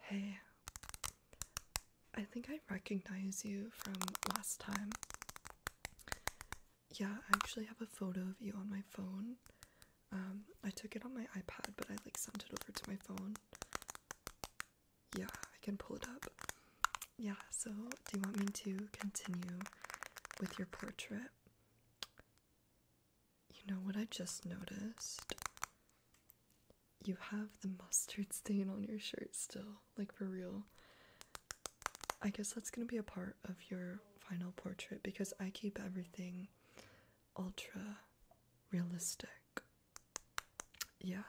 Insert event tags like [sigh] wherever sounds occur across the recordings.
Hey, I think I recognize you from last time. Yeah, I actually have a photo of you on my phone. Um, I took it on my iPad, but I like sent it over to my phone yeah, I can pull it up. Yeah, so do you want me to continue with your portrait? You know what I just noticed? You have the mustard stain on your shirt still, like for real. I guess that's gonna be a part of your final portrait because I keep everything ultra realistic. Yeah.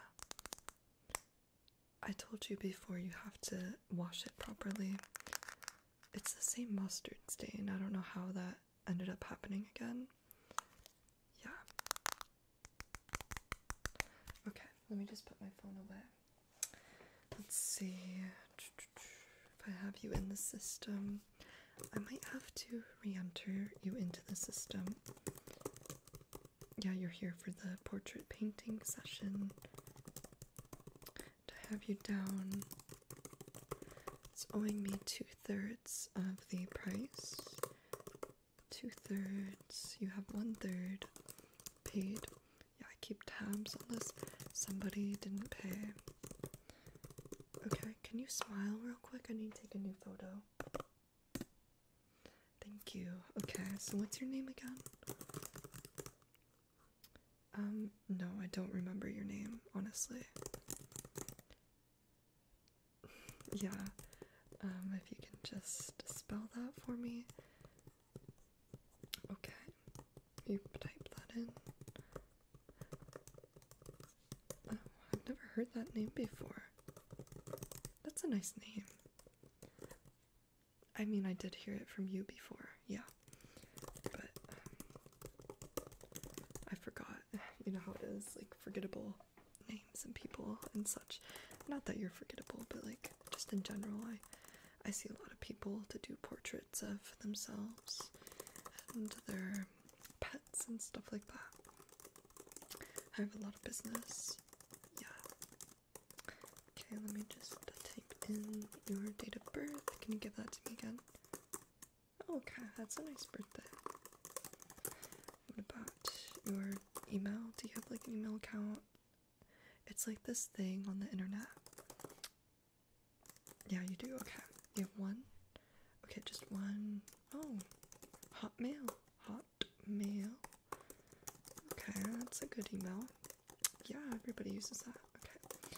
I told you before you have to wash it properly. It's the same mustard stain. I don't know how that ended up happening again. Yeah. Okay, let me just put my phone away. Let's see. If I have you in the system, I might have to re enter you into the system yeah, you're here for the portrait painting session. To have you down, it's owing me two thirds of the price. Two thirds, you have one third paid. Yeah, I keep tabs on this. Somebody didn't pay. Okay, can you smile real quick? I need to take a new photo. Thank you. Okay, so what's your name again? Um, no, I don't remember your name, honestly. [laughs] yeah, um, if you can just spell that for me. Okay, you type that in. Oh, I've never heard that name before. That's a nice name. I mean, I did hear it from you before, yeah. But um, I forgot. [laughs] You know how it is, like forgettable names and people and such. Not that you're forgettable, but like just in general, I I see a lot of people to do portraits of themselves and their pets and stuff like that. I have a lot of business yeah. Okay, let me just uh, type in your date of birth. Can you give that to me again? Oh, okay, that's a nice birthday. What about your email? Do you have like an email account? It's like this thing on the internet. Yeah, you do. Okay, you have one. Okay, just one. Oh, Hotmail. Hot Hotmail. Okay, that's a good email. Yeah, everybody uses that. Okay,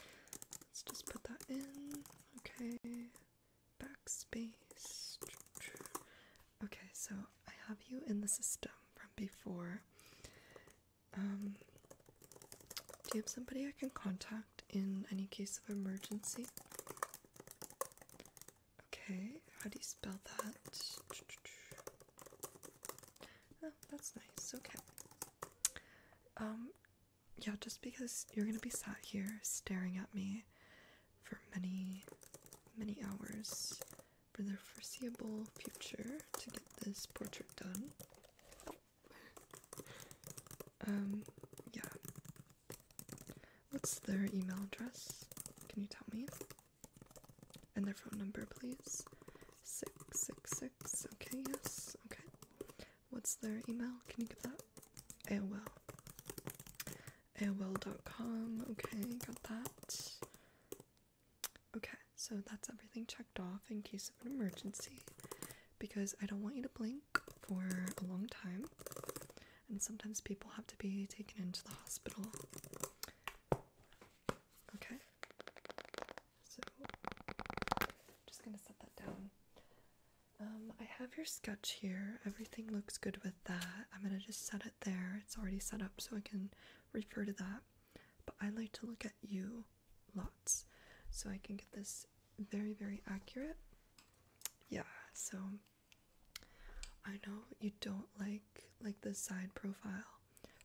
let's just put that in. Okay, backspace. Okay, so I have you in the system from before. Um, do you have somebody I can contact in any case of emergency? Okay, how do you spell that? Oh, that's nice. Okay. Um, yeah, just because you're gonna be sat here staring at me for many, many hours for the foreseeable future to get this portrait done. Um, yeah. What's their email address? Can you tell me? And their phone number, please. 666. Okay, yes. Okay. What's their email? Can you get that? AOL. AOL.com. Okay, got that. Okay, so that's everything checked off in case of an emergency because I don't want you to blink for a long time. And sometimes people have to be taken into the hospital Okay, so just gonna set that down. Um, I have your sketch here. Everything looks good with that. I'm gonna just set it there. It's already set up, so I can refer to that. But I like to look at you lots, so I can get this very, very accurate. Yeah. So I know you don't like like the side profile,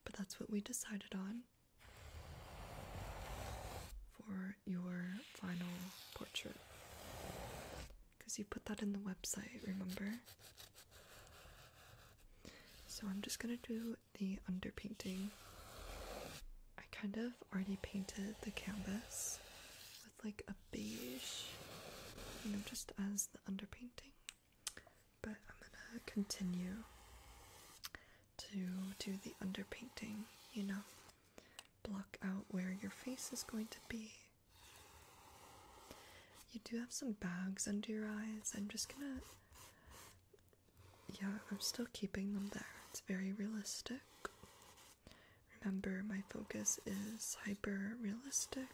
but that's what we decided on for your final portrait. Cuz you put that in the website, remember? So I'm just going to do the underpainting. I kind of already painted the canvas with like a beige, you know, just as the underpainting. But I'm gonna continue to do the underpainting, you know, block out where your face is going to be. You do have some bags under your eyes. I'm just gonna. Yeah, I'm still keeping them there. It's very realistic. Remember, my focus is hyper realistic.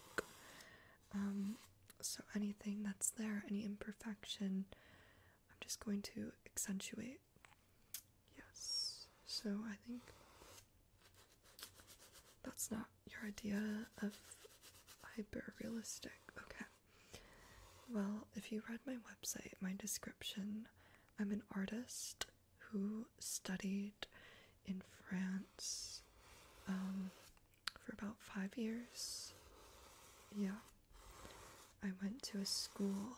Um, so anything that's there, any imperfection, I'm just going to accentuate. Yes. So I think that's not your idea of hyperrealistic. Okay. Well, if you read my website, my description, I'm an artist who studied in France. Um, for about five years. Yeah. I went to a school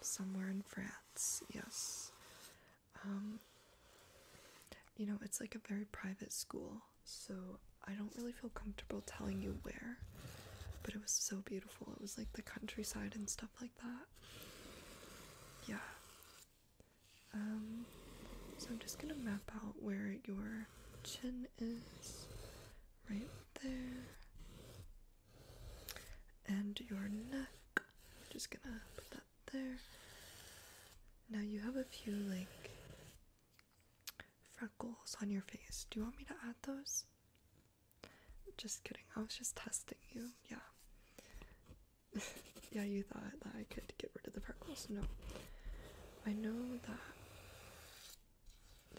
somewhere in France, yes. Um, you know, it's like a very private school, so I don't really feel comfortable telling you where, but it was so beautiful. It was like the countryside and stuff like that. Yeah. Um, so I'm just gonna map out where your chin is, right there, and your neck. I'm just gonna put that there. Now you have a few like freckles on your face. Do you want me to add those? Just kidding. I was just testing you. Yeah. [laughs] yeah, you thought that I could get rid of the freckles? No. I know that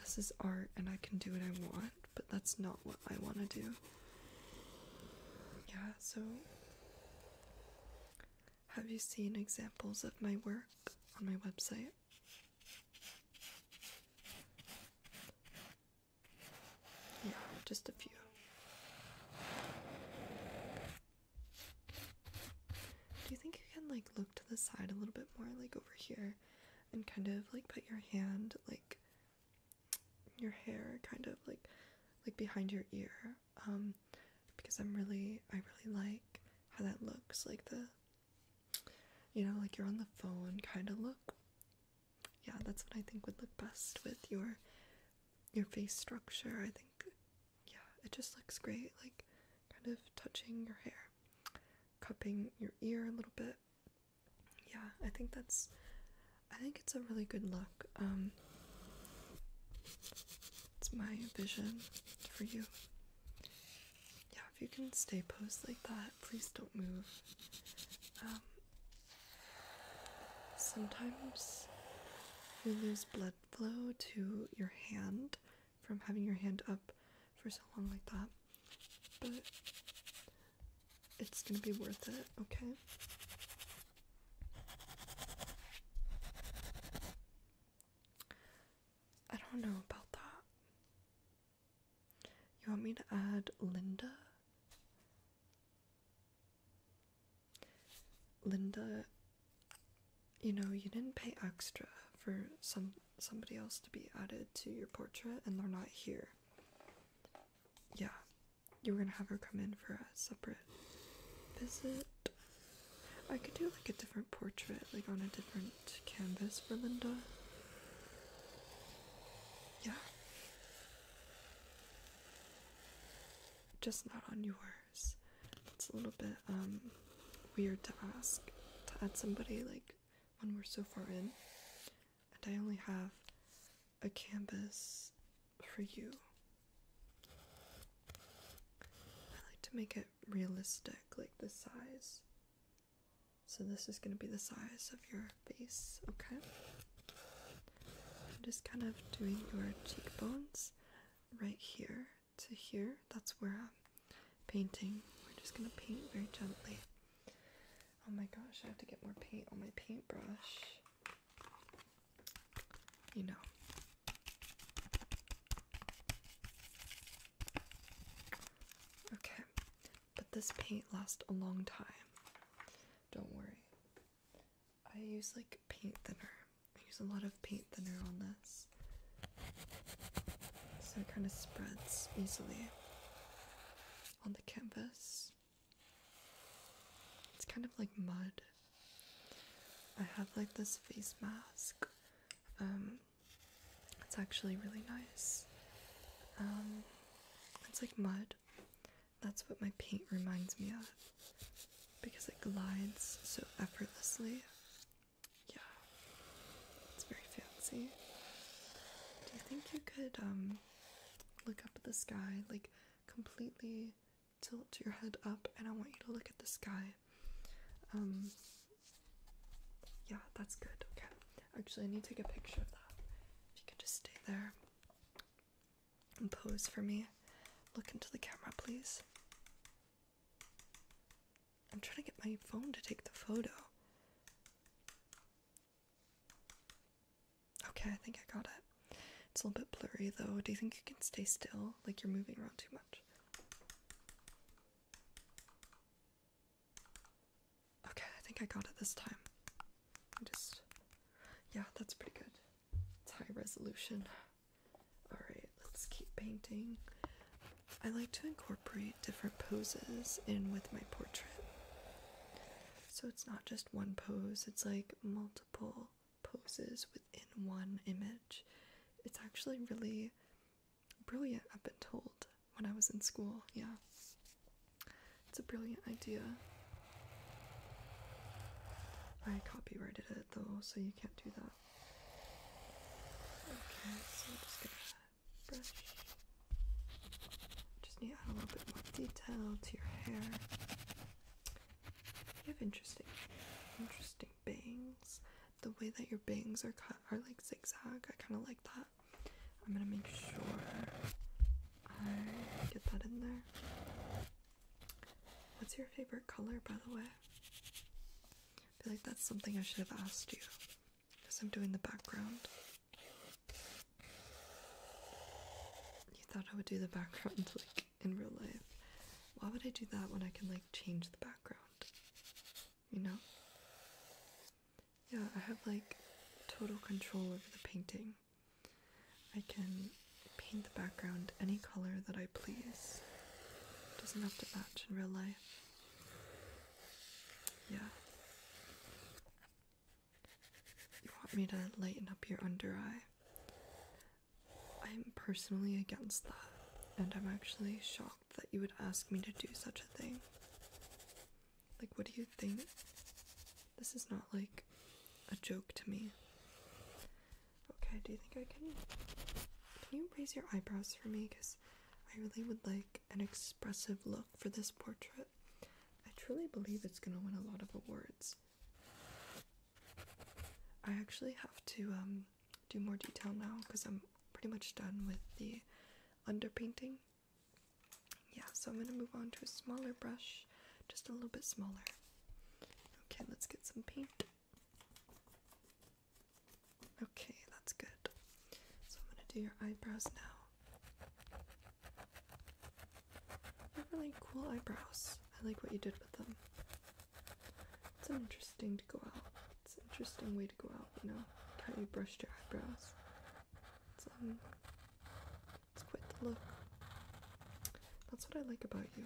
this is art and I can do what I want, but that's not what I want to do. Yeah, so have you seen examples of my work on my website? Yeah, just a few. Do you think you can like look to the side a little bit more, like over here, and kind of like put your hand like your hair kind of like like behind your ear? Um, because I'm really I really like how that looks, like the you know, like you're on the phone kind of look. Yeah, that's what I think would look best with your your face structure. I think yeah, it just looks great. Like kind of touching your hair, cupping your ear a little bit. Yeah, I think that's I think it's a really good look. Um it's my vision for you. Yeah, if you can stay posed like that, please don't move. Um sometimes we lose blood flow to your hand from having your hand up for so long like that, but it's gonna be worth it, okay? I don't know about that. You want me to add Linda? Linda, you know, you didn't pay extra for some somebody else to be added to your portrait and they're not here. Yeah. You were gonna have her come in for a separate visit. I could do like a different portrait, like on a different canvas for Linda. Yeah. Just not on your it's a little bit um, weird to ask to add somebody like when we're so far in, and I only have a canvas for you. I like to make it realistic, like the size. So, this is going to be the size of your face, okay? just kind of doing your cheekbones right here to here. That's where I'm painting. We're just gonna paint very gently. Oh my gosh, I have to get more paint on my paintbrush. You know. Okay, but this paint lasts a long time. Don't worry. I use like paint thinner. I use a lot of paint thinner on this, so it kind of spreads easily on the canvas. It's kind of like mud. I have like this face mask. Um, it's actually really nice. Um, it's like mud. That's what my paint reminds me of because it glides so effortlessly yeah, it's very fancy. Do you think you could um look up at the sky, like completely tilt your head up, and I want you to look at the sky? Um, yeah, that's good. Okay, actually, I need to take a picture of that. If you could just stay there and pose for me, look into the camera, please. I'm trying to get my phone to take the photo. Okay, I think I got it. It's a little bit blurry though. Do you think you can stay still? Like you're moving around too much. Okay, I think I got it this time. just. Yeah, that's pretty good. It's high resolution. Alright, let's keep painting. I like to incorporate different poses in with my portrait. So it's not just one pose, it's like multiple poses within one image. It's actually really brilliant, I've been told, when I was in school. Yeah. It's a brilliant idea. I copyrighted it though, so you can't do that. Okay, so I'm just gonna brush. Just need to add a little bit more detail to your hair. You have interesting, interesting bangs. The way that your bangs are cut are like zigzag. I kind of like that. I'm gonna make sure I get that in there. What's your favorite color, by the way? I feel like that's something I should have asked you because I'm doing the background. You thought I would do the background [laughs] like in real life. Why would I do that when I can like change the background? You know? Yeah, I have like total control over the painting. I can paint the background any color that I please. Doesn't have to match in real life. Yeah. You want me to lighten up your under eye? I'm personally against that, and I'm actually shocked that you would ask me to do such a thing. Like, what do you think? This is not like a joke to me. Okay, do you think I can? Can you raise your eyebrows for me? Because I really would like an expressive look for this portrait. I truly believe it's going to win a lot of awards. I actually have to um, do more detail now because I'm pretty much done with the underpainting. Yeah, so I'm going to move on to a smaller brush, just a little bit smaller. Okay, let's get some paint. Okay, that's good. So I'm gonna do your eyebrows now. You have really cool eyebrows. I like what you did with them. It's interesting to go out. It's an interesting way to go out, you know, how you brushed your eyebrows. It's, um, it's quite the look. That's what I like about you.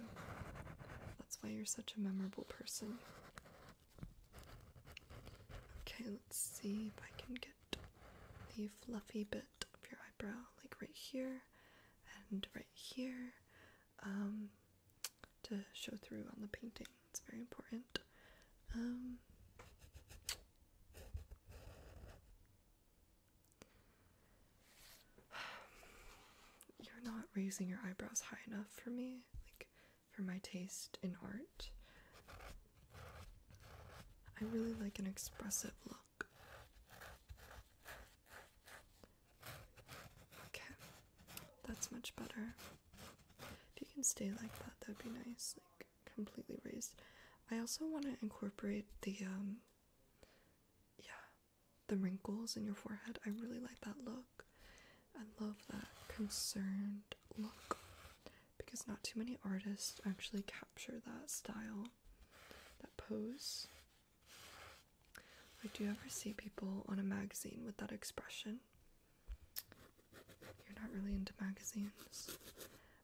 That's why you're such a memorable person. Okay, let's see if I can get the fluffy bit of your eyebrow, like right here and right here, um, to show through on the painting. It's very important. Um, you're not raising your eyebrows high enough for me, like for my taste in art. I really like an expressive look. Okay, that's much better. If you can stay like that, that'd be nice, like completely raised. I also want to incorporate the, um, yeah, the wrinkles in your forehead. I really like that look. I love that concerned look because not too many artists actually capture that style, that pose. do you ever see people on a magazine with that expression? You're not really into magazines.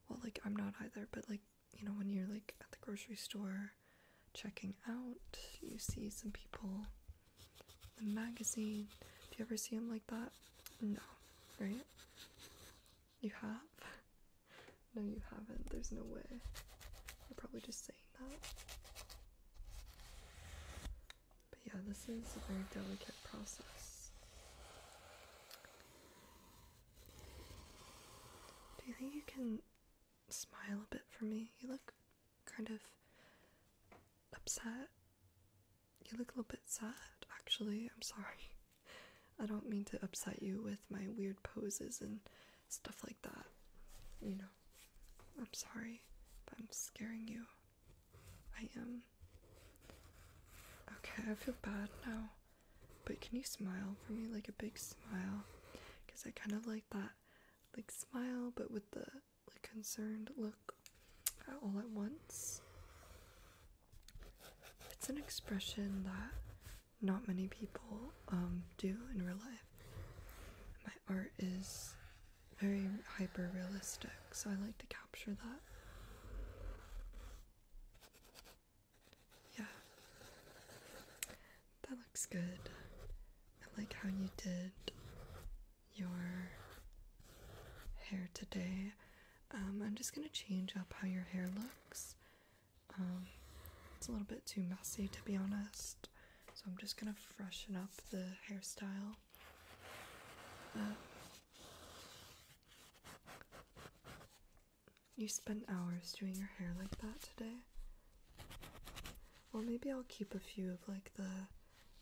Well, like, I'm not either, but like, you know, when you're like at the grocery store checking out, you see some people the magazine. Do you ever see them like that? No, right? You have? [laughs] No, you haven't. There's no way. You're probably just saying that. But yeah, this is a very delicate process. Do you think you can smile a bit for me? You look kind of upset. You look a little bit sad, actually. I'm sorry. I don't mean to upset you with my weird poses and stuff like that. You know, I'm sorry I'm scaring you. I am. Okay, I feel bad now. But can you smile for me like a big smile? Because I kind of like that, like, smile, but with the concerned look all at once. It's an expression that not many people um, do in real life. My art is very hyper realistic, so I like to capture that. Yeah. That looks good. I like how you did your hair today. Um, I'm just going to change up how your hair looks. Um, it's a little bit too messy to be honest, so I'm just going to freshen up the hairstyle. Um, you spent hours doing your hair like that today. Well, maybe I'll keep a few of like the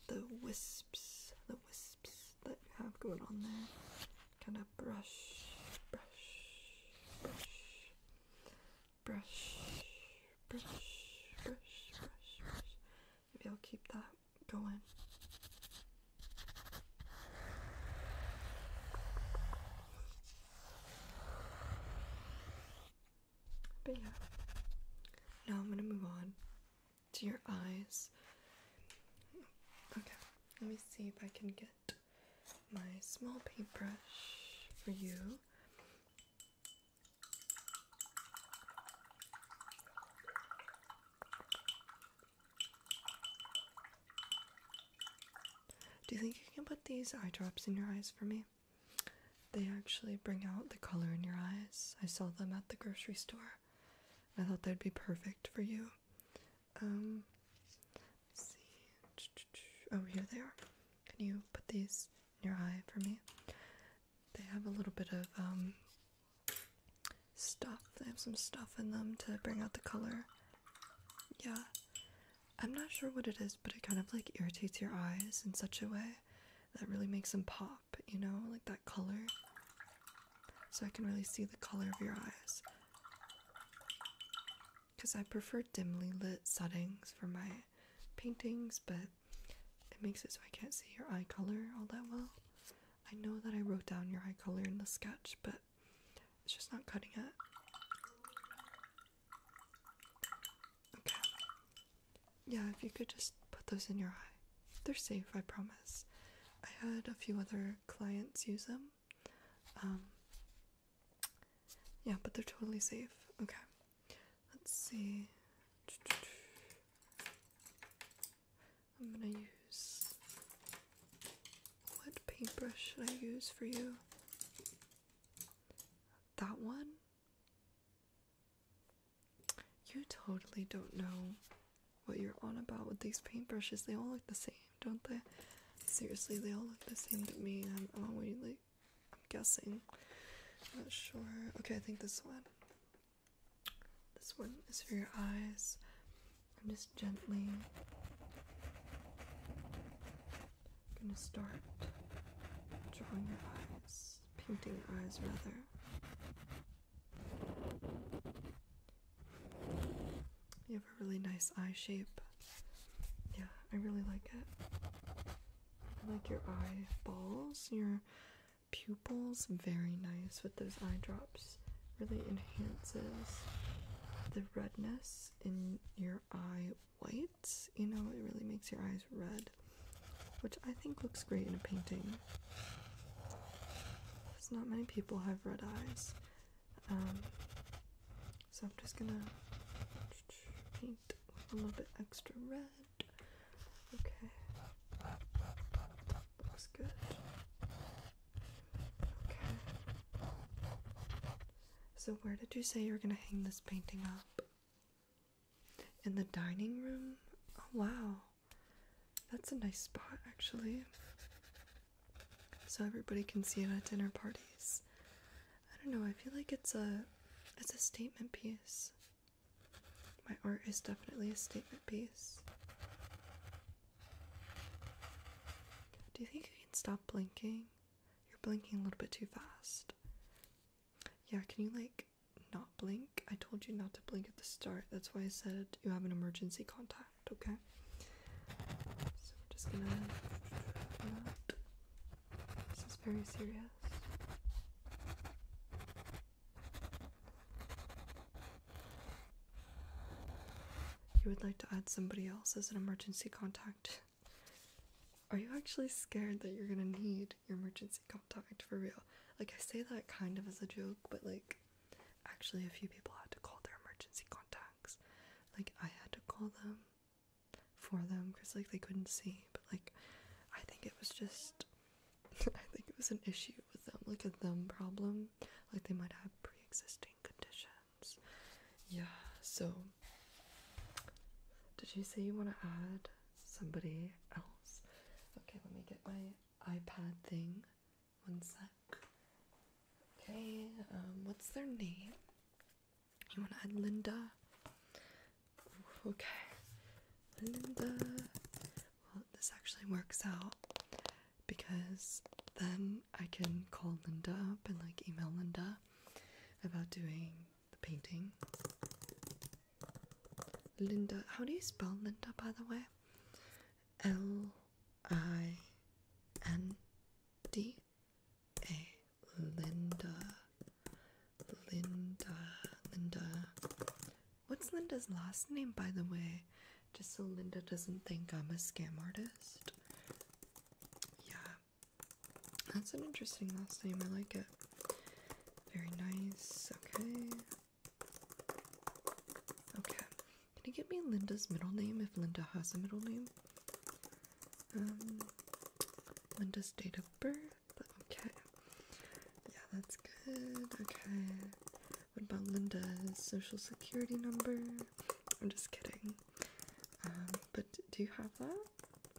the wisps, the wisps that you have going on there. Kind of brush, brush, brush, brush, brush, brush, brush, brush. Maybe I'll keep that going. But yeah. Now I'm gonna move on to your eyes. Okay, let me see if I can get my small paintbrush for you. Do you think you can put these eye drops in your eyes for me? They actually bring out the color in your eyes. I saw them at the grocery store. I thought they would be perfect for you. Um, see. Oh, here they are. Can you put these in your eye for me? They have a little bit of um, stuff. They have some stuff in them to bring out the color. Yeah. I'm not sure what it is, but it kind of like irritates your eyes in such a way that really makes them pop. But you know, like that color. So I can really see the color of your eyes. Because I prefer dimly lit settings for my paintings, but it makes it so I can't see your eye color all that well. I know that I wrote down your eye color in the sketch, but it's just not cutting it. Okay. Yeah, if you could just put those in your eye. They're safe, I promise. I had a few other clients use them. Um, yeah, but they're totally safe. Okay. Let's see. I'm gonna use. What paintbrush should I use for you? That one? You totally don't know what you're on about with these paintbrushes. They all look the same, don't they? Seriously, they all look the same to me. I'm I'm guessing. not sure. Okay, I think this one. This one is for your eyes. I'm just gently gonna start drawing your eyes painting eyes rather. You have a really nice eye shape. Yeah, I really like it. I like your eyeballs, your pupils, very nice with those eye drops. Really enhances the redness in your eye whites. You know, it really makes your eyes red which I think looks great in a painting. Because not many people have red eyes. Um, so I'm just gonna paint a little bit extra red. Okay. Looks good. Okay. So, where did you say you were gonna hang this painting up? In the dining room? Oh, wow. That's a nice spot, actually. So everybody can see it at dinner parties. I don't know, I feel like it's a it's a statement piece. My art is definitely a statement piece. Do you think you can stop blinking? You're blinking a little bit too fast. Yeah, can you like not blink. I told you not to blink at the start. That's why I said you have an emergency contact, okay? So I'm just gonna. This is very serious. You would like to add somebody else as an emergency contact. Are you actually scared that you're gonna need your emergency contact for real. Like, I say that kind of as a joke, but like, actually, a few people had to call their emergency contacts. Like, I had to call them for them because, like, they couldn't see, but like, I think it was just, [laughs] I think it was an issue with them, like a them problem. Like, they might have pre existing conditions. Yeah, so. Did you say you want to add somebody else. Okay, let me get my iPad thing. One sec. Okay, um, what's their name? You want to add Linda? okay, Linda. Well, this actually works out because then I can call Linda up and like email Linda about doing the painting. Linda. How do you spell Linda, by the way? L I N D A. Linda. Linda. Linda. What's Linda's last name, by the way? Just so Linda doesn't think I'm a scam artist. Yeah. That's an interesting last name. I like it. Very nice. Okay. Okay. Can you get me Linda's middle name if Linda has a middle name? Um, Linda's date of birth. Okay. Yeah, that's good. Okay. What about Linda's social security number? I'm just kidding. Um, but do you have that?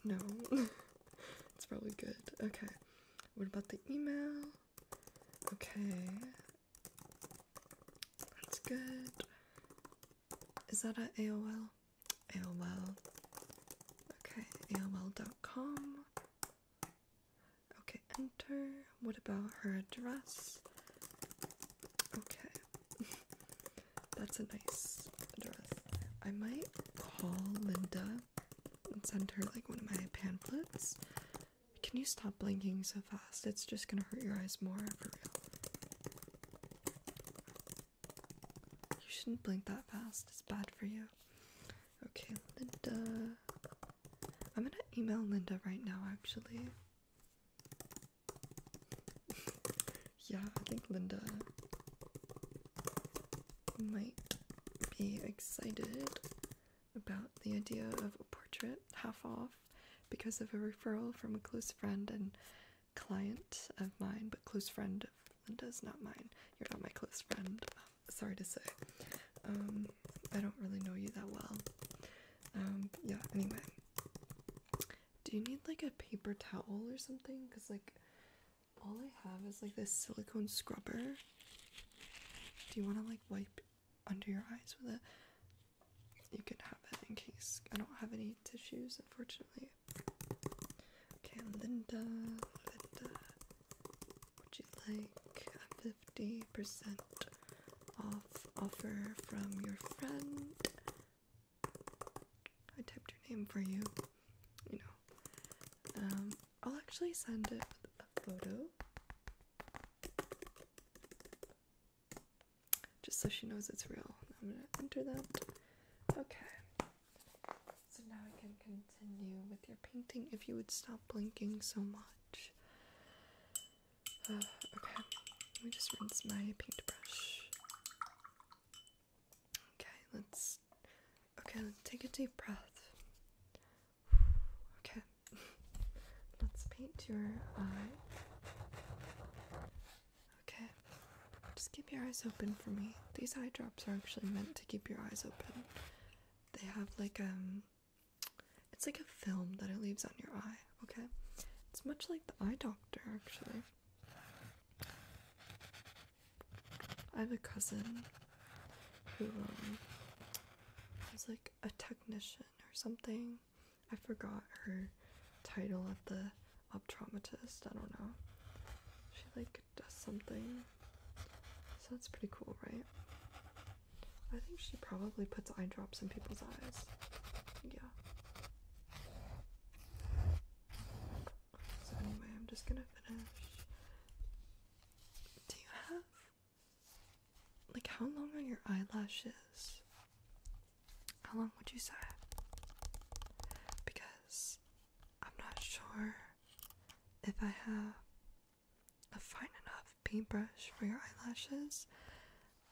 No. [laughs] it's probably good. Okay. What about the email? Okay. That's good. Is that at AOL? AOL. Okay, AOL.com. Okay, enter. What about her address? Okay. [laughs] That's a nice address. I might call Linda and send her like one of my pamphlets. Can you stop blinking so fast? It's just gonna hurt your eyes more for real. You shouldn't blink that fast, it's bad for you. Okay, Linda. I'm gonna email Linda right now, actually. [laughs] yeah, I think Linda might be excited about the idea of a portrait half off because of a referral from a close friend and client of mine, but close friend of Linda's, not mine. You're not my close friend. Um, sorry to say. Um, I don't really know you that well. Um, yeah, anyway. Do you need like a paper towel or something? Because, like, all I have is like this silicone scrubber do you want to like wipe under your eyes with it? You can have it in case I don't have any tissues, unfortunately. Okay, Linda, Linda, would you like a 50% off offer from your friend? I typed your name for you, you know. Um, I'll actually send it with a photo just so she knows it's real. I'm going to enter that. Okay. So now I can continue with your painting if you would stop blinking so much. Uh, okay. Let me just rinse my paintbrush. Okay, let's. Okay, let's take a deep breath. [sighs] Okay, let's paint your eye. Okay, just keep your eyes open for me. These eye drops are actually meant to keep your eyes open. They have like um, it's like a film that it leaves on your eye. Okay, it's much like the eye doctor actually. I have a cousin who um, was like a technician or something. I forgot her title at the optometrist. I don't know. She like does something. So that's pretty cool, right? I think she probably puts eye drops in people's eyes. Yeah. So anyway, I'm just gonna finish. Do you have like, how long are your eyelashes? How long would you say? Because I'm not sure if I have a fine enough paintbrush for your eyelashes.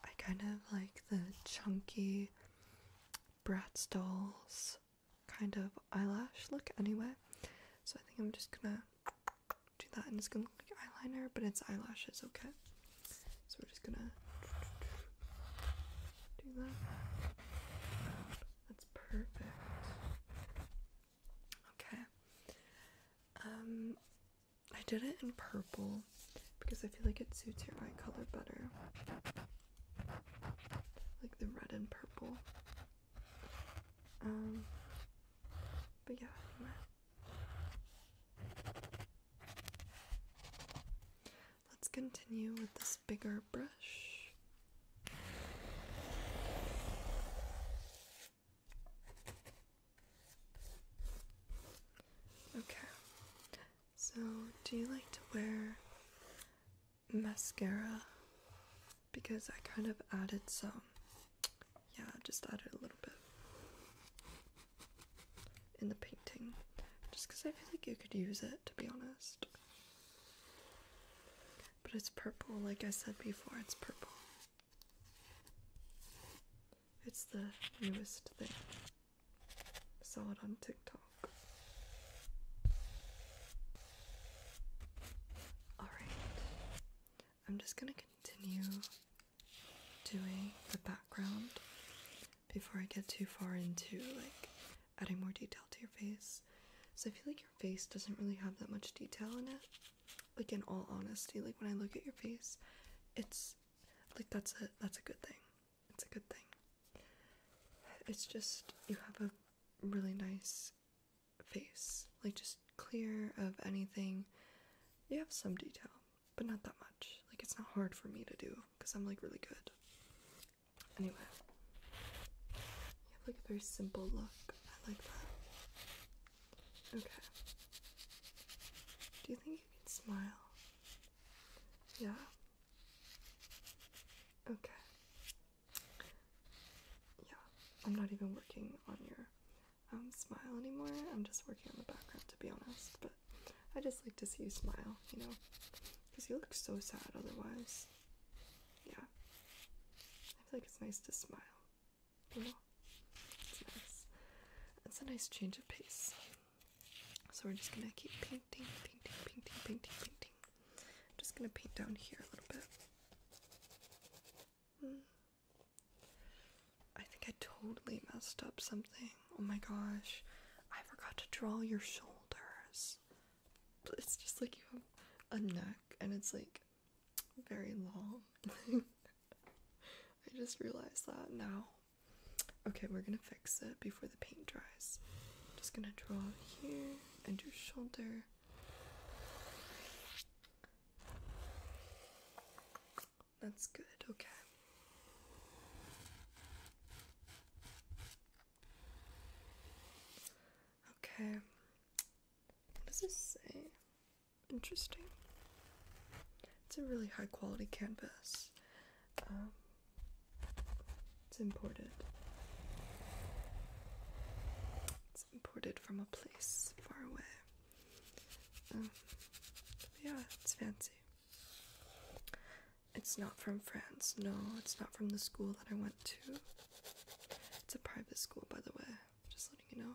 I kind of like the chunky Bratz dolls kind of eyelash look anyway. So I think I'm just gonna do that and it's gonna look like eyeliner, but it's eyelashes, okay? So we're just gonna do that. That's perfect. Okay. Um I did it in purple because I feel like it suits your eye color better. Like the red and purple. Um, but yeah, Let's continue with this bigger brush. Okay, so do you like to wear mascara because I kind of added some, yeah, just added a little bit in the painting just because I feel like you could use it to be honest. But it's purple, like I said before, it's purple. It's the newest thing. saw it on TikTok. Alright. I'm just going to continue doing the background before I get too far into like adding more detail to your face. So I feel like your face doesn't really have that much detail in it. Like in all honesty, like when I look at your face, it's like that's a that's a good thing. It's a good thing. It's just you have a really nice face, like just clear of anything. You have some detail, but not that much. Like it's not hard for me to do because I'm like really good. Anyway, you have like a very simple look. I like that. Okay. Do you think you can smile? Yeah. Okay. Yeah, I'm not even working on your um, smile anymore. I'm just working on the background to be honest, but I just like to see you smile, you know, because you look so sad otherwise. Yeah. I feel like it's nice to smile, you know? It's nice. It's a nice change of pace. So we're just gonna keep painting, painting, painting, painting, painting. I'm just gonna paint down here a little bit. Hmm. I think I totally messed up something. Oh my gosh. I forgot to draw your shoulders. It's just like you have a neck and it's like very long. [laughs] I just realized that now. Okay, we're gonna fix it before the paint dries. Just gonna draw here and your shoulder that's good, okay. Okay. What does this say? Interesting. It's a really high quality canvas. Um, it's imported. It's imported from a place far away. Um, yeah, it's fancy. It's not from France. No, it's not from the school that I went to. It's a private school, by the way. Just letting you know.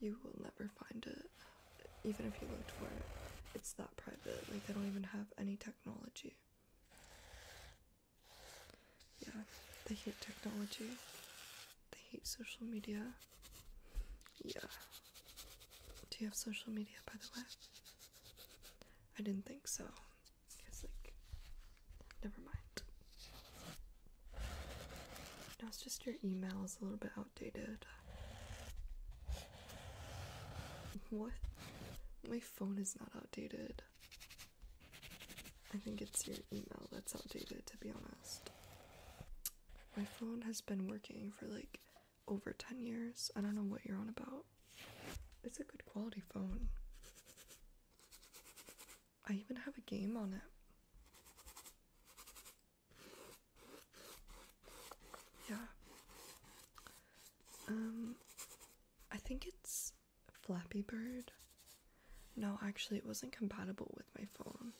You will never find it, even if you looked for it. It's that private. Like, they don't even have any technology. Yeah, they hate technology. They hate social media. Yeah. Do you have social media, by the way? I didn't think so. It's like, never mind. Now it's just your email is a little bit outdated. What? My phone is not outdated. I think it's your email that's outdated, to be honest. My phone has been working for like over 10 years. I don't know what you're on about. It's a good quality phone. I even have a game on it. Yeah. Um, I think it's Flappy Bird. No, actually, it wasn't compatible with my phone.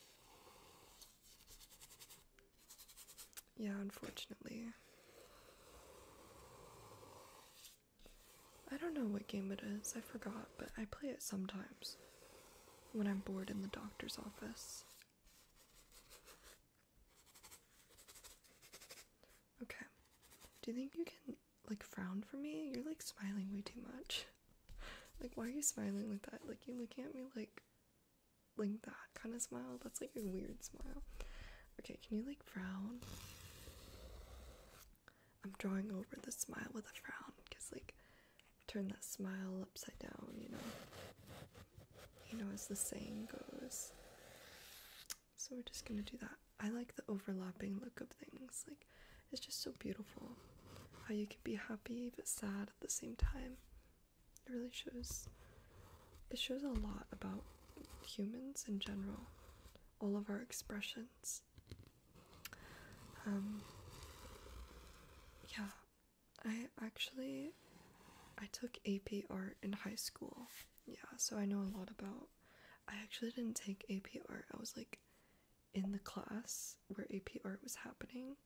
Yeah, unfortunately. I don't know what game it is, I forgot, but I play it sometimes when I'm bored in the doctor's office. Okay. Do you think you can like frown for me? You're like smiling way too much like why are you smiling like that like you looking at me like like that kind of smile that's like a weird smile okay can you like frown i'm drawing over the smile with a frown because like turn that smile upside down you know you know as the saying goes so we're just gonna do that i like the overlapping look of things like it's just so beautiful how you can be happy but sad at the same time. It really shows it shows a lot about humans in general, all of our expressions. Um yeah, I actually I took AP art in high school. Yeah, so I know a lot about I actually didn't take AP art. I was like in the class where AP art was happening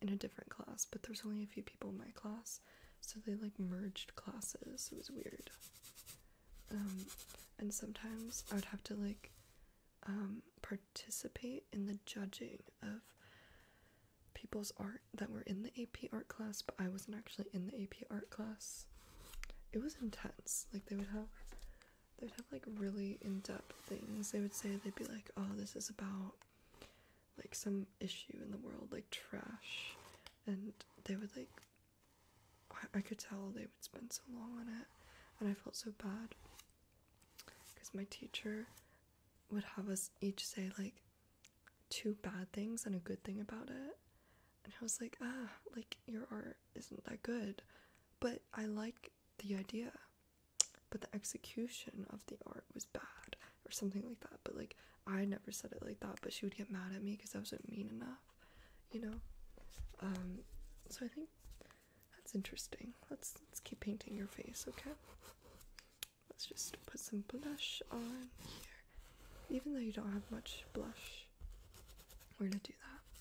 in a different class, but there's only a few people in my class, so they like merged classes. It was weird. Um, and sometimes I would have to like um, participate in the judging of people's art that were in the AP art class, but I wasn't actually in the AP art class. It was intense. Like they would have they'd have like really in-depth things they would say they'd be like oh this is about like some issue in the world like trash and they would like I, could tell they would spend so long on it and i felt so bad because my teacher would have us each say like two bad things and a good thing about it and i was like ah like your art isn't that good but i like the idea, but the execution of the art was bad or something like that. But like I never said it like that, but she would get mad at me because I wasn't mean enough, you know. Um, so I think that's interesting. Let's let's keep painting your face, okay? Let's just put some blush on here. Even though you don't have much blush, we're gonna do that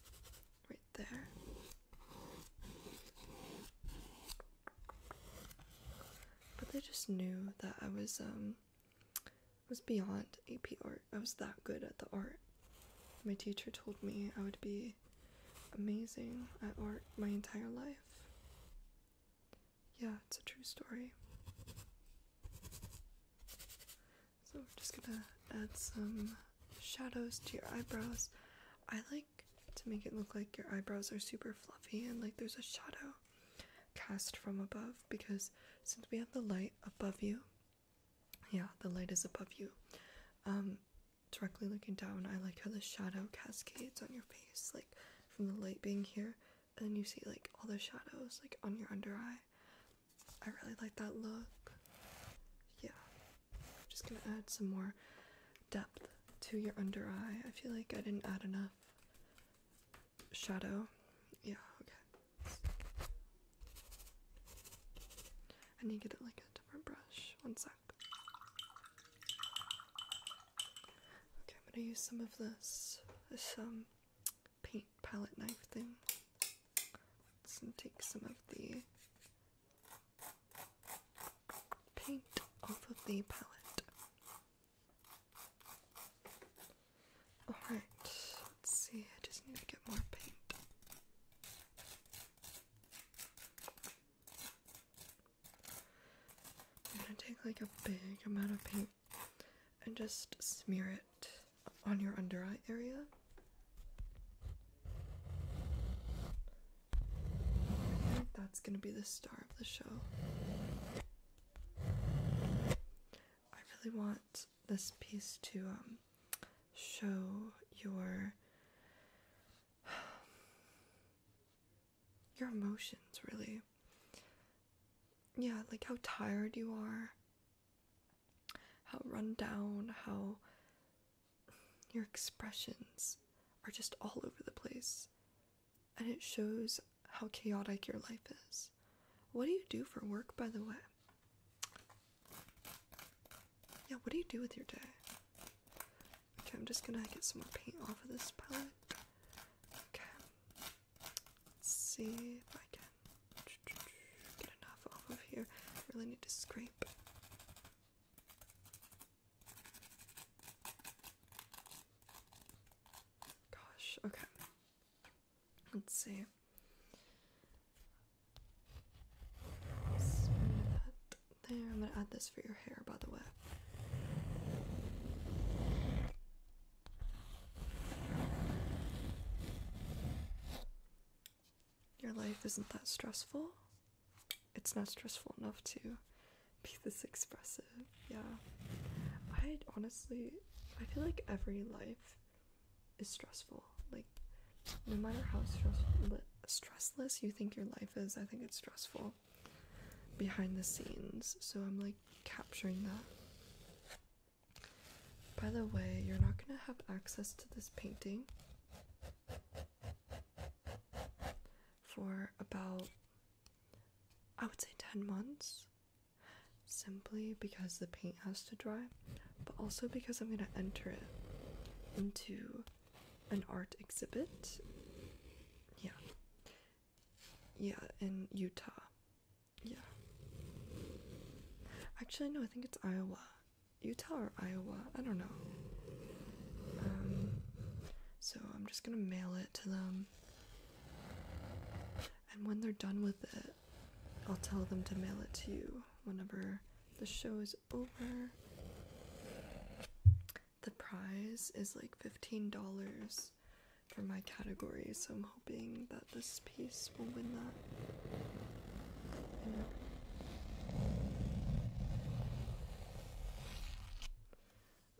right there. But they just knew that I was um was beyond AP art. I was that good at the art. My teacher told me I would be amazing at art my entire life. Yeah, it's a true story. So we're just gonna add some shadows to your eyebrows. I like to make it look like your eyebrows are super fluffy and like there's a shadow cast from above because since we have the light above you, yeah, the light is above you. Um, directly looking down, I like how the shadow cascades on your face, like from the light being here, and then you see like all the shadows like on your under eye. I really like that look. Yeah, just gonna add some more depth to your under eye. I feel like I didn't add enough shadow. Yeah, okay. I need to get it like a different brush. One sec. Okay, I'm gonna use some of this this um paint palette knife thing. Let's take some of the paint off of the palette. Alright, let's see, I just need to get more paint. I'm gonna take like a big amount of paint and just smear it on your under eye area. That's gonna be the star of the show. I really want this piece to um, show your [sighs] your emotions, really. Yeah, like how tired you are, how run down, how your expressions are just all over the place, and it shows how chaotic your life is. What do you do for work, by the way? Yeah, what do you do with your day? Okay, I'm just gonna get some more paint off of this palette. Okay, let's see if I can get enough off of here. really need to scrape. Gosh, okay. Let's see. there, I'm gonna add this for your hair, by the way your life isn't that stressful. It's not stressful enough to be this expressive. Yeah. I honestly, I feel like every life is stressful. Like, no matter how stressful, stressless you think your life is, I think it's stressful behind the scenes. So I'm like capturing that. By the way, you're not gonna have access to this painting for about I would say 10 months simply because the paint has to dry, but also because I'm going to enter it into an art exhibit. Yeah. Yeah, in Utah. Yeah. Actually, no, I think it's Iowa. Utah or Iowa, I don't know. Um, so I'm just gonna mail it to them. And when they're done with it, I'll tell them to mail it to you whenever the show is over. The prize is like $15 for my category, so I'm hoping that this piece will win that.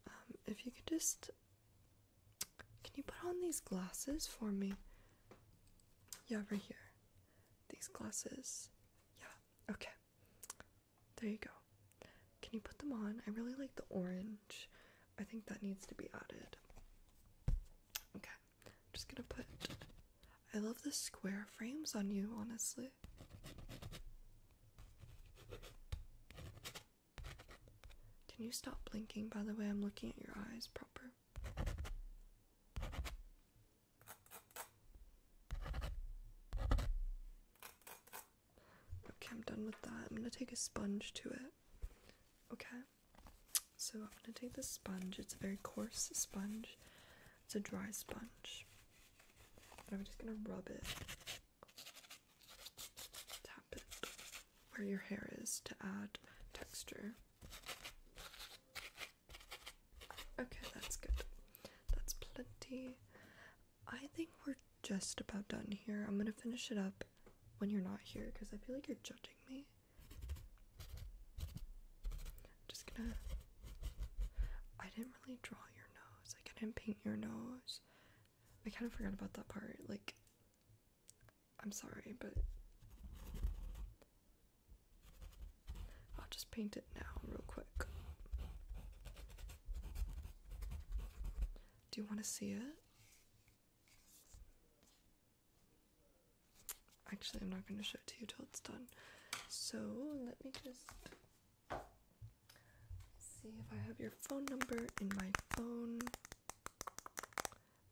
Um, if you could just. Can you put on these glasses for me? Yeah, right here. These glasses. Yeah, okay. There you go. Can you put them on? I really like the orange. I think that needs to be added. Okay, I'm just gonna put I love the square frames on you, honestly. Can you stop blinking? By the way, I'm looking at your eyes proper. Okay, I'm done with that. I'm gonna take a sponge to it. Okay, so I'm gonna take the sponge, it's a very coarse sponge, it's a dry sponge. I'm just gonna rub it, tap it where your hair is to add texture. Okay, that's good. That's plenty. I think we're just about done here. I'm gonna finish it up when you're not here because I feel like you're judging me just gonna. I didn't really draw your nose. I didn't paint your nose. I kind of forgot about that part. Like, I'm sorry, but. I'll just paint it now, real quick. Do you want to see it? Actually, I'm not going to show it to you till it's done. So, let me just see if I have your phone number in my phone.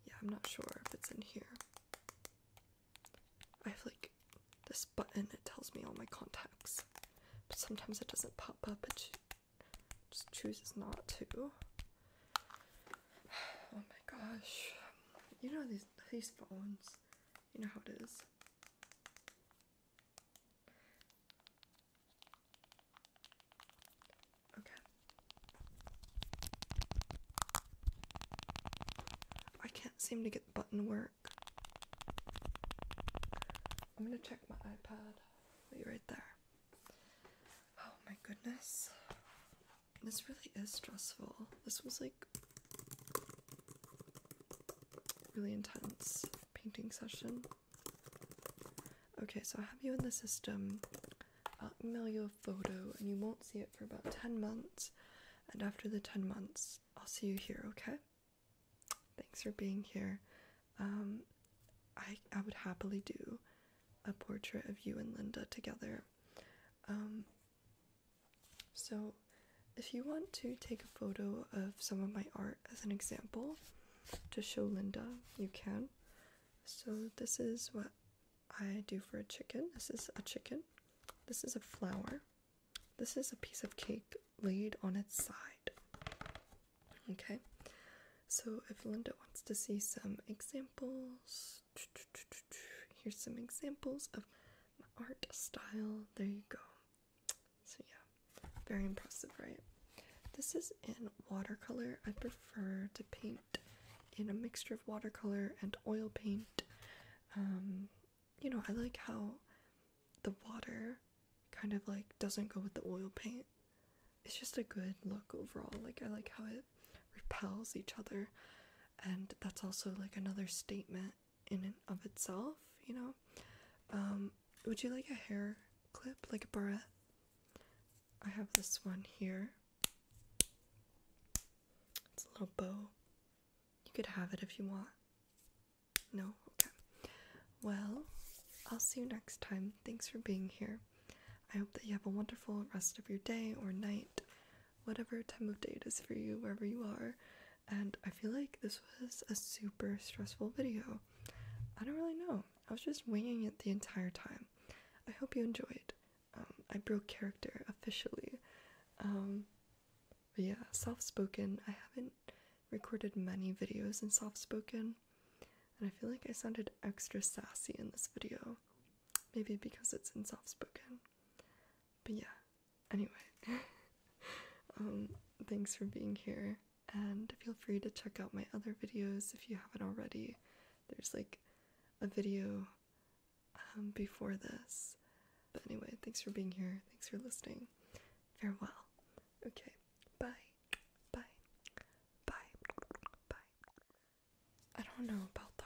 Yeah, I'm not sure if it's in here. I have like this button, it tells me all my contacts, but sometimes it doesn't pop up, it just chooses not to. [sighs] Oh my gosh. You know these these phones. You know how it is. Okay. I can't seem to get the button work. I'm gonna check my iPad. be right there. Oh my goodness. This really is stressful. This was like really intense painting session. Okay, so I have you in the system. I'll email you a photo and you won't see it for about 10 months. And after the 10 months, I'll see you here, okay? Thanks for being here. Um, I, I would happily do a portrait of you and Linda together. Um, so, if you want to take a photo of some of my art as an example to show Linda, you can. So, this is what I do for a chicken. This is a chicken. This is a flower. This is a piece of cake laid on its side. Okay, so if Linda wants to see some examples, here's some examples of my art style. There you go so yeah, very impressive, right? This is in watercolor. I prefer to paint in a mixture of watercolor and oil paint. Um, you know, I like how the water kind of like doesn't go with the oil paint. It's just a good look overall. Like, I like how it repels each other, and that's also like another statement in and of itself, you know. Um, would you like a hair clip, like a barrette? I have this one here. It's a little bow. You could have it if you want. No? Okay. Well, I'll see you next time. Thanks for being here. I hope that you have a wonderful rest of your day or night, whatever time of day it is for you, wherever you are and I feel like this was a super stressful video. I don't really know. I was just winging it the entire time. I hope you enjoyed. Um, I broke character officially. Um, but yeah, soft spoken. I haven't recorded many videos in soft spoken, and I feel like I sounded extra sassy in this video. Maybe because it's in soft spoken. But yeah, anyway, [laughs] um, thanks for being here, and feel free to check out my other videos if you haven't already. There's like a video um, before this. But anyway, thanks for being here. Thanks for listening. Farewell. Okay, bye. Bye. Bye. Bye. I don't know about that.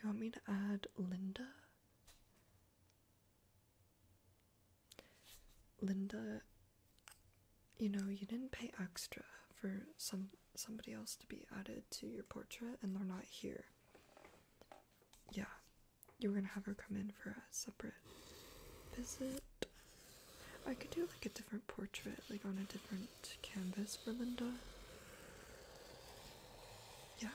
You want me to add Linda? Linda, you know, you didn't pay extra for some somebody else to be added to your portrait and they're not here. Yeah. You were gonna have her come in for a separate visit. I could do like a different portrait, like on a different canvas for Linda. Yeah.